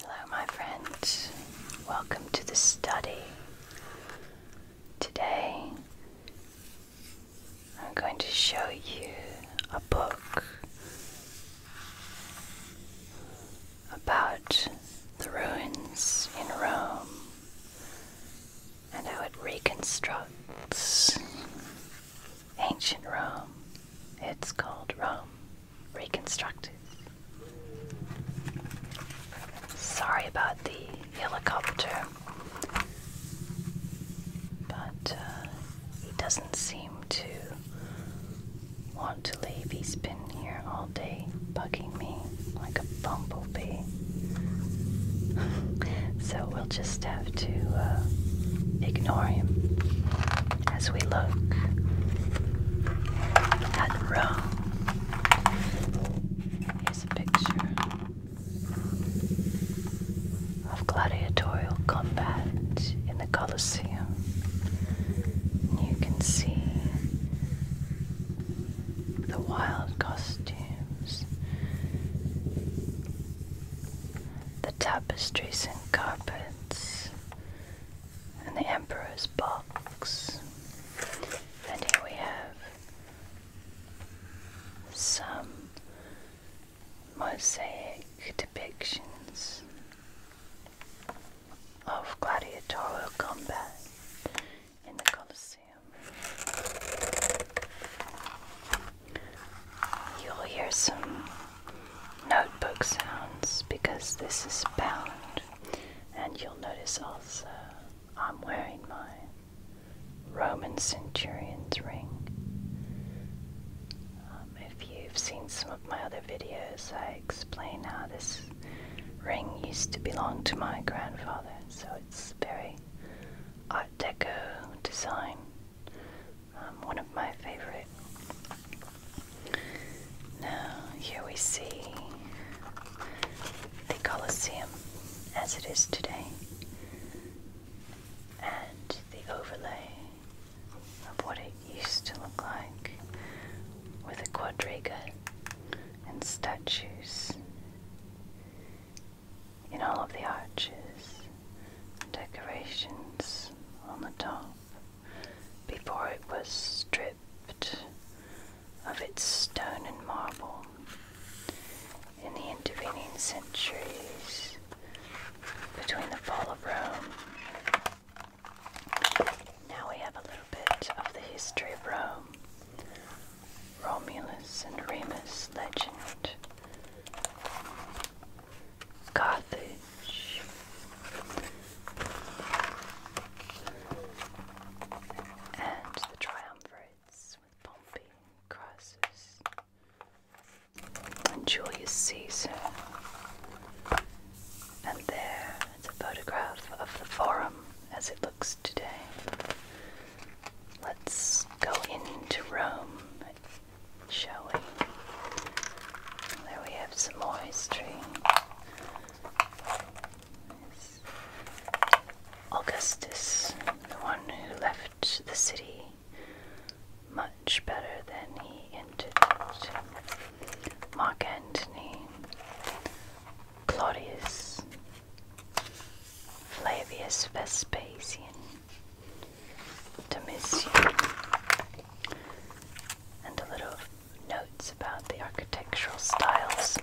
Hello, my friends. Welcome to the study. Today, I'm going to show you a book about the ruins in Rome and how it reconstructs ancient Rome. It's called Rome reconstructed. Sorry about the helicopter, but uh, he doesn't seem to want to leave. He's been here all day, bugging me like a bumblebee. so we'll just have to uh, ignore him as we look at Rome. Here's a picture of gladiatorial combat in the Colosseum. You can see the wild costumes, the tapestries and carpets and the Emperor's box. And here we have some mosaic depictions of gladiatorial combat in the Colosseum. You'll hear some notebook sounds because this is bound. And you'll notice also I'm wearing my Roman centurion's ring. Um, if you've seen some of my other videos, I explain how this ring used to belong to my grandfather. So it's very Art Deco design um, one of my favorite. Now, here we see the Colosseum as it is today, and the overlay of what it used to look like with a quadriga and statues in all of the arches and decorations on the top before it was stripped of its stone and marble. In the intervening centuries between the fall of Rome, now we have a little bit of the history of Rome. Romulus and Remus legend. Carthage and the triumvirates with Pompey and Crassus and Julius Caesar. And there is a photograph of the forum as it looks today. Let's go into Rome shall we? There we have some history. Augustus, the one who left the city much better than he entered it. Mark Antony, Claudius, Flavius Vespasian, Domitian, and a little notes about the architectural styles,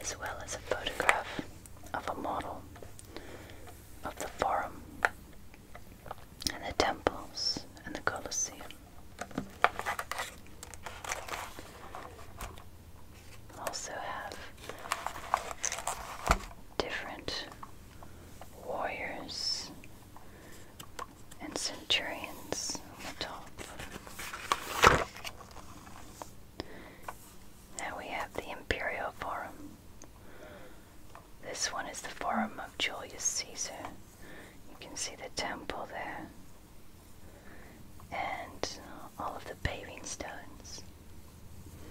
as well as a photograph of a model of the forum and the temples and the Colosseum. Also have different warriors and centurions on the top. Now we have the Imperial Forum. This one is the Forum of Julius Caesar. You can see the temple there and all of the paving stones,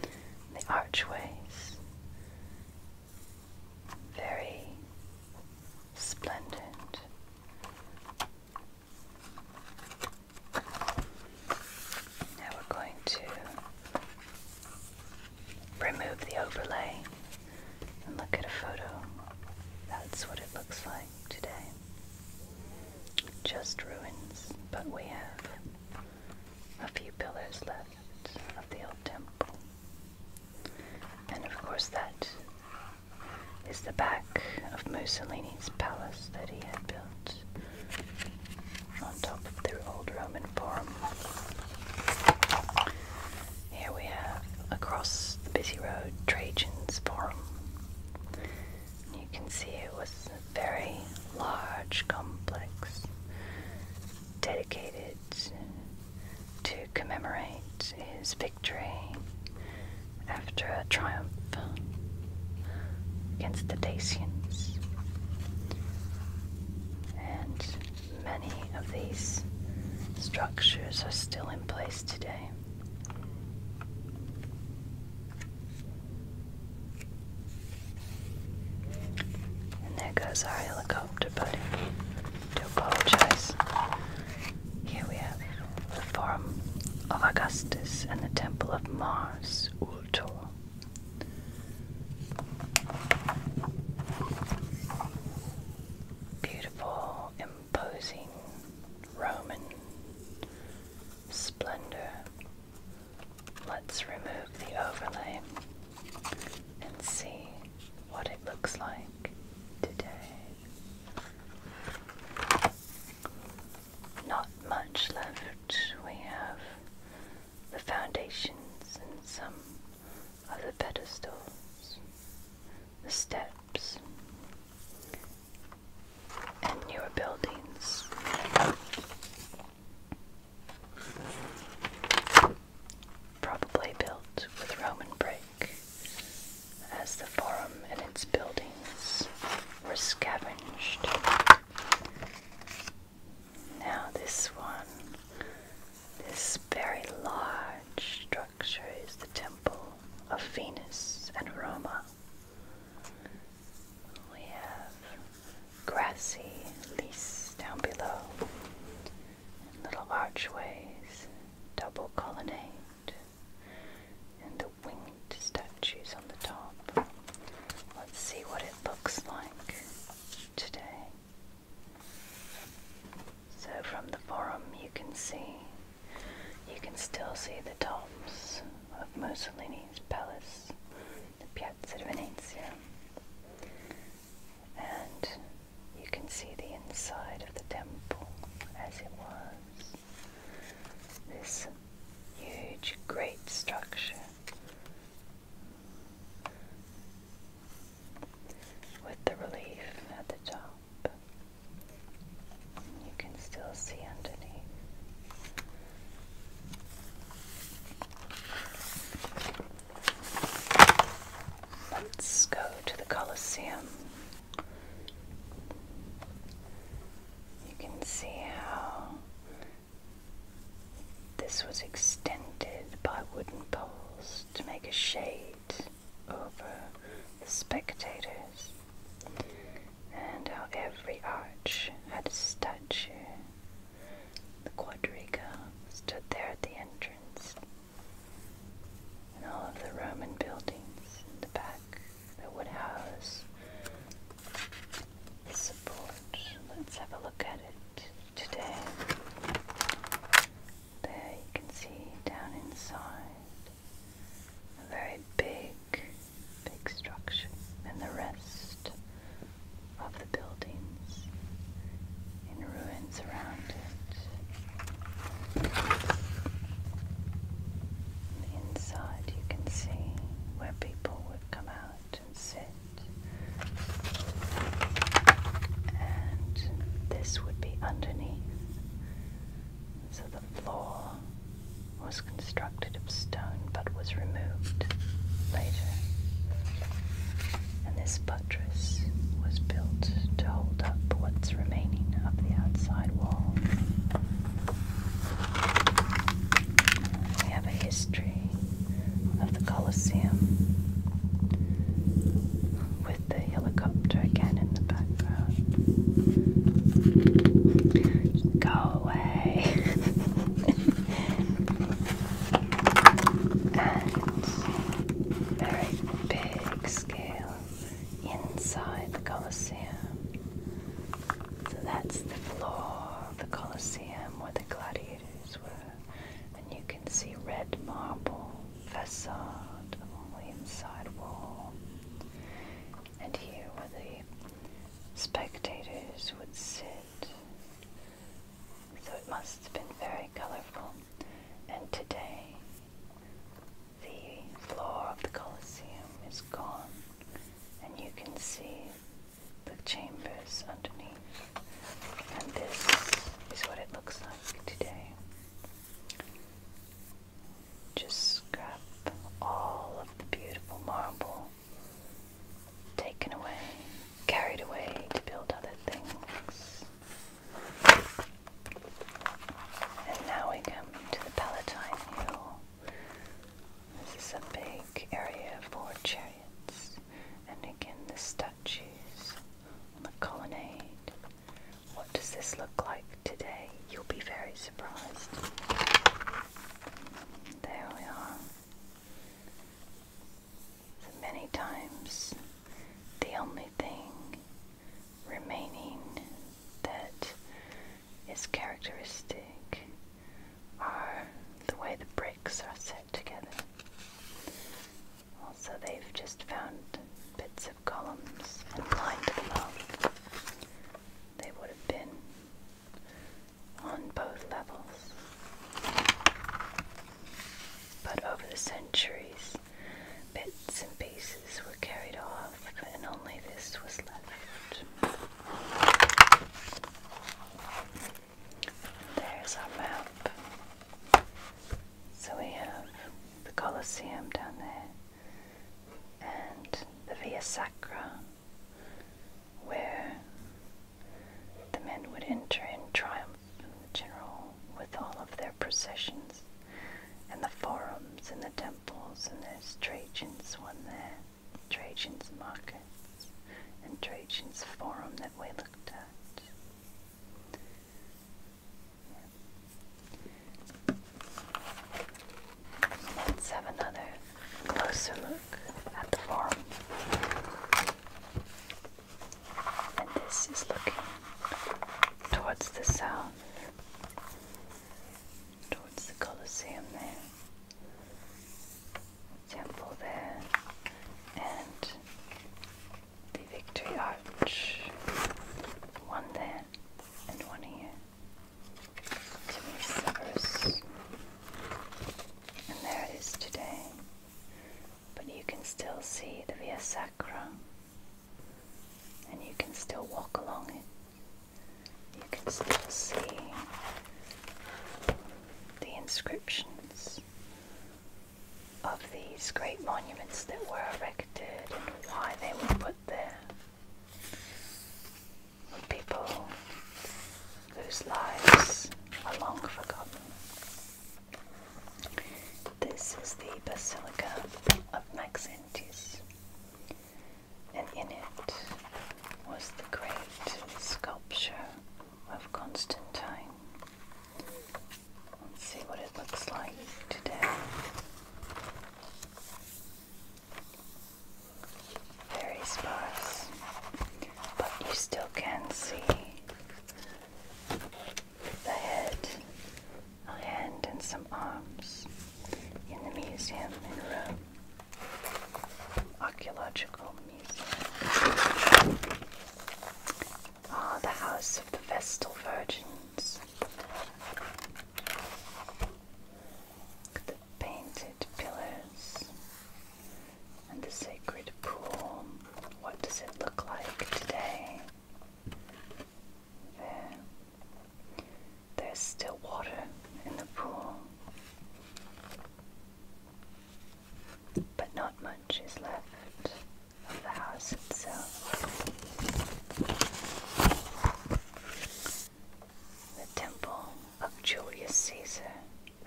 the archways, very splendid. Now we're going to remove the overlay and look at a photo. That's what it looks like today. Just ruins, but we have a few pillars left of the old temple. And of course, that is the back of Mussolini's palace that he had built on top of the old Roman Forum. Here we have across the busy road Trajan's Forum. You can see it was a very large complex dedicated to commemorate his victory after a triumph against the Dacians. And many of these structures are still in place today. there goes our helicopter buddy. To apologize. Here we have the Forum of Augustus and the Temple of Mars, Ultor. Beautiful, imposing Roman splendor. Let's remove the overlay and see what it looks like today. Not much left. We have the foundations and some of the pedestals, the steps, and newer buildings probably built with Roman brick, as the forum and its buildings were scavenged. Now, this one, this very large structure, is the Temple of Venus and Roma. We have grassy leaves down below little archways, double colonnade, and the winged statues on the top. Let's see what it looks like today. So from the forum you can see, you can still see the tops of Mussolini's palace, the Piazza di Venezia and you can see the inside of the temple as it was. This huge, great structure with the relief at the top. You can still see underneath. Let's go to the Colosseum. You can see how this was extended by wooden poles to make a shade over the spectators, and how every arch had a statue. The quadriga stood there at the entrance, and all of the Roman buildings in the back the would house the support. Let's have a look at it today. There you can see down inside a very big, big structure, and the rest of the buildings in ruins around it. inside, you can see where people would come out and sit, and this would be underneath. So the floor was constructed of stone but was removed later. And this was built to hold up what's remaining of the outside wall. We have a history of the Colosseum with the helicopter again in the background. Go away! and very big scale inside the Colosseum. So that's the floor of the Colosseum where the gladiators were, and you can see red marble facade on the inside wall. And here where the spectators would sit so it must have been very colorful. And today, the floor of the Colosseum is gone, and you can see the chambers underneath. And this is what it looks like today. Just scrap all of the beautiful marble taken away, carried away to build other things. And now we come to the Palatine Hill. This is a big area for chariots, and again the statues on the colonnade. What does this look like today? You'll be very surprised. There we are. So many times, the only thing remaining that is characteristic are the way the bricks are set together. Also, they've just found bits of columns and lined them up. They would have been on both levels but over the centuries, bits and pieces were carried off, and only this was left. There's our map. So we have the Colosseum down there and the Via Sacra, where the men would enter in triumph from the general with all of their processions, and the forums and the temples and there's Trajans one there, Trajans markets and Trajans forum that we looked at. Let's have another closer look at the forum. And this is looking towards the south, towards the Colosseum there, temple there, and the Victory Arch. One there and one here. To me, And there it is today but you can still see the Via Sacra and you can still walk along it. You can still see the inscriptions of these great monuments that were erected and why they were put there. People whose lives are long forgotten. This is the Basilica of Maxentius, and in it was the great sculpture of Constantine. Let's see what it looks like today. Very sparse, but you still can see the head, a hand, and some arms in the museum in Rome. Archaeological Museum. Ah, the House of the Vestal Virgins. The painted pillars. And the sacred pool. What does it look like today? There. There's still water in the pool. But not much is left of the house itself. The temple of Julius Caesar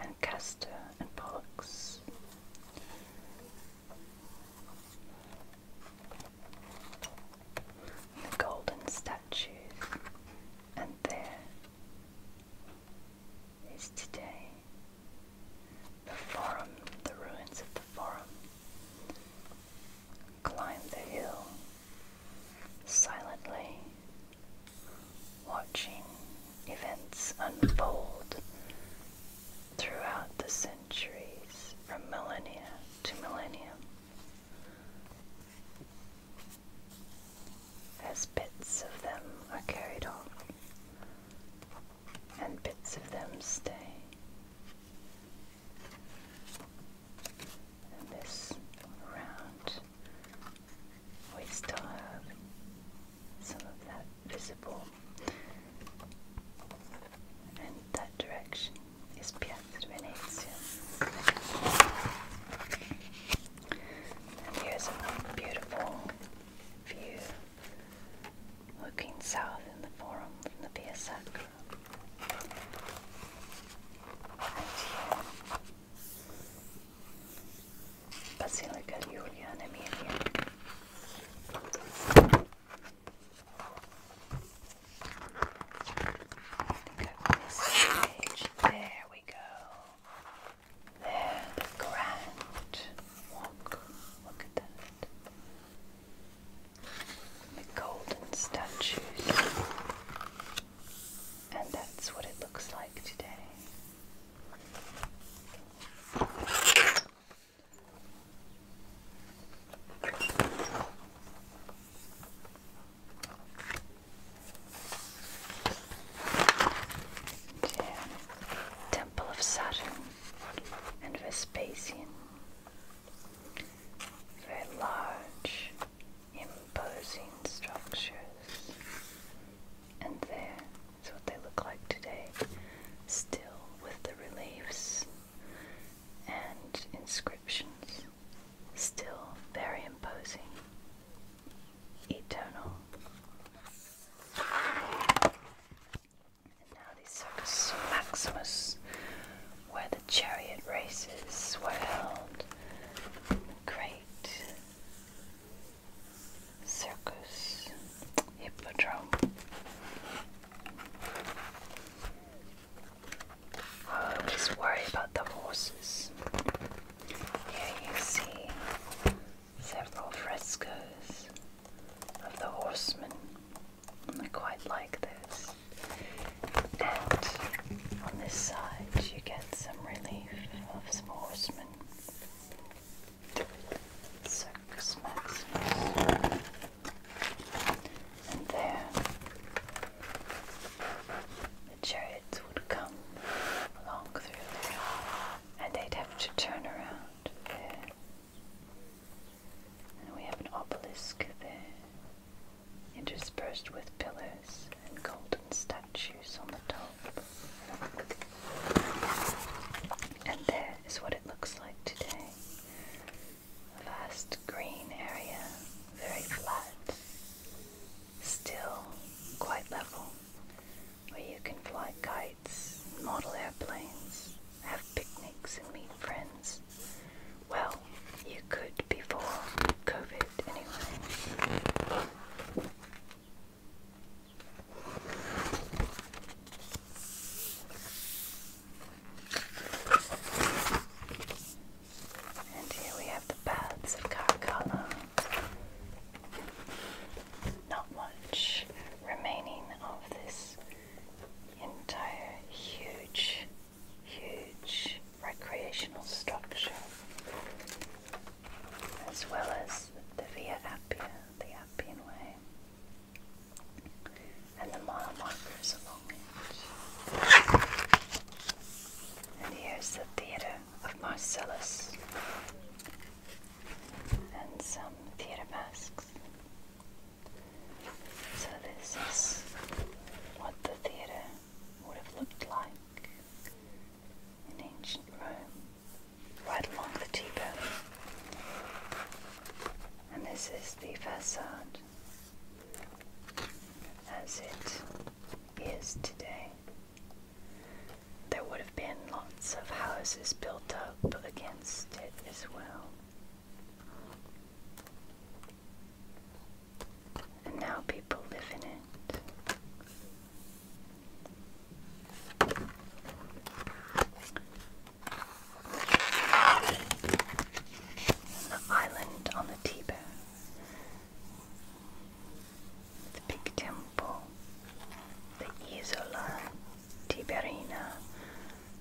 and Castor and Pollux the golden statue, and there is today the forum, the ruins of the forum. Climb the hill silently, watching events unfold throughout the centuries from millennia to millennium as bits of them are carried off and bits of them stay. And this round, we still have some of that visible. And that direction is Piazza Venezia. here's a beautiful view looking south in the forum from the Via Basilica Juliana Emilia. I I've missed the There we go. There, the Grand Walk. Look at that. The golden statues. And that's what it looks like today. Temple of Saturn and Vespasian very large, imposing structures and there is what they look like today, still with the reliefs and inscriptions, still very imposing, eternal. And now the Circus Maximus, where the chariot races were held, great Circus Hippodrome. I always worry about the horses. Here you see several frescoes of the horsemen. I quite like this. And on this side, you get some relief of some horsemen Circus Maximus. And there the chariots would come along through there, and they'd have to turn around there. And we have an obelisk there, interspersed with pillars and golden statues on the top. And there is what it looks like today. A vast green area, very flat, still quite level, where you can fly kites, model airplanes, have picnics and meet friends. Well, you could before COVID anyway. And here we have the baths of Caracalla. Not much remaining of this entire huge, huge recreational structure as well as the Via Appia, the Appian Way, and the mile markers along it. And here's the theatre of Marcellus and some theatre masks. So this is what the theatre would have looked like in ancient Rome right along the T-bone. And this is the facade as it is today. There would have been lots of houses built up against it as well. And now people live in it. The island on the Tiber, the big temple, the Isola Tiberina,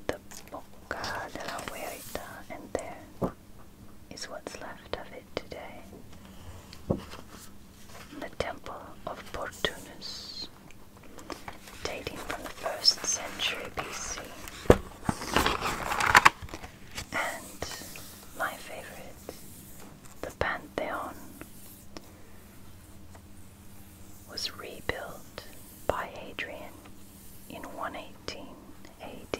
the Bocca della Verita, and there is what's left of it today the Temple of Portunus, dating from the 1st century BC, and my favorite, the Pantheon, was rebuilt by Hadrian in 118 AD.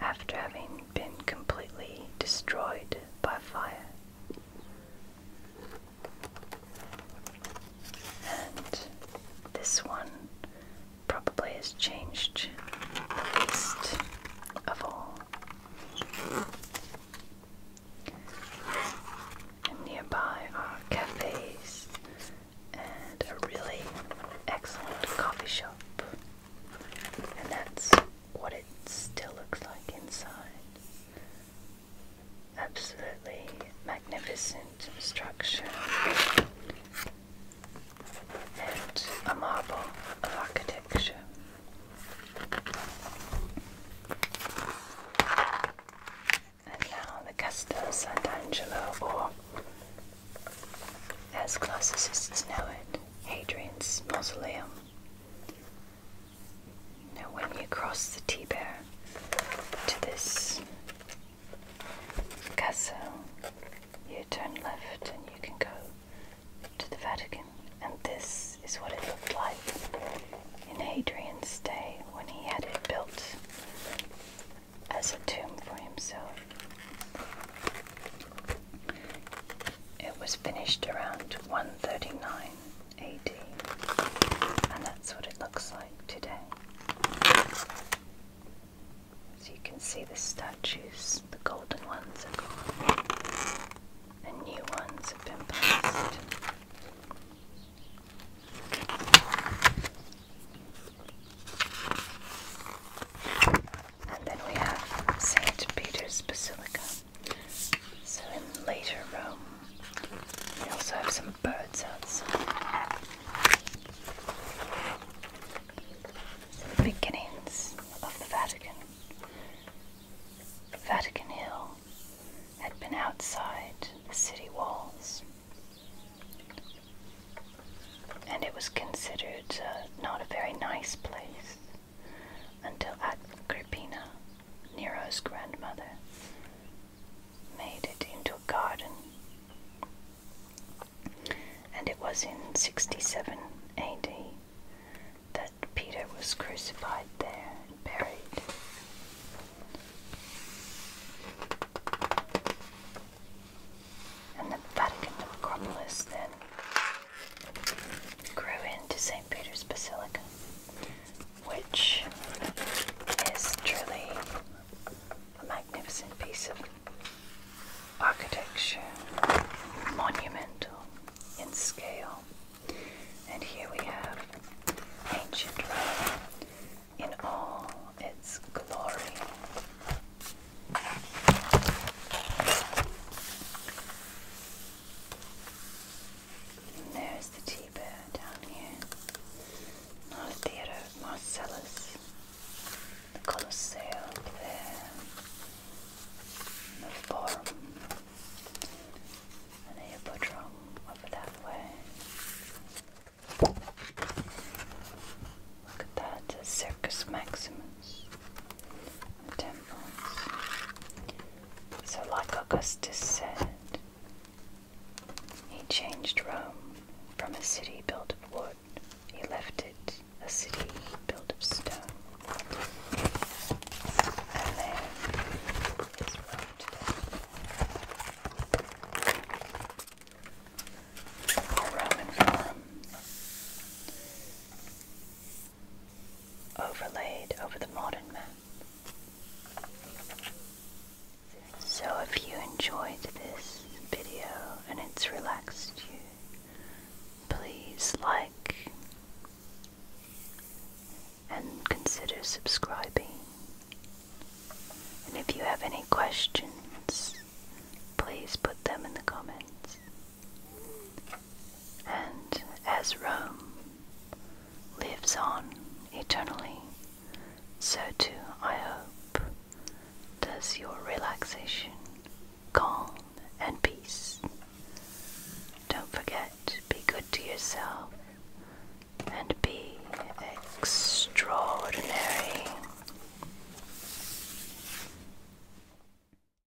After having been completely destroyed by fire, and this one probably has changed the least of all. nearby are cafes and a really excellent coffee shop. And that's what it still looks like inside. Absolutely magnificent structure and a marvel of architecture. And now the Castel Sant'Angelo, or as classicists know it, Hadrian's mausoleum now, when you cross the Tiber to this castle, you turn left and you can go to the Vatican. And this is what it looked like in Hadrian's day when he had it built as a tomb for himself. It was finished around 139 AD, and that's what it looks like today. So you can see the statues, the golden ones are gone, and new ones have been placed. And then we have St. Peter's Basilica. So in later Rome, we also have some birds outside. The beginnings of the Vatican. Vatican Hill had been outside the city walls, and it was considered uh, not a very nice place until Agrippina, Nero's grandmother, made it into a garden. And it was in 67 AD that Peter was crucified there buried. And the Vatican Acropolis then grew into St. Peter's Basilica, which is truly a magnificent piece of architecture, monumental in scale. And here we have ancient Rome in all its glory there's the Tiber down here. Not theatre of Marcellus. The Colosseum there. the Forum. And the Hippodrome over that way. Look at that, the Circus Maximus. So, like Augustus said, he changed Rome from a city built of wood, he left it a city built of stone. And there is overlaid over the modern map. So if you enjoyed this video and it's relaxed you, please like and consider subscribing. And if you have any questions, please put them in the comments. And as Rome lives on eternally, so too, I hope, does your relaxation, calm, and peace. Don't forget, be good to yourself and be extraordinary.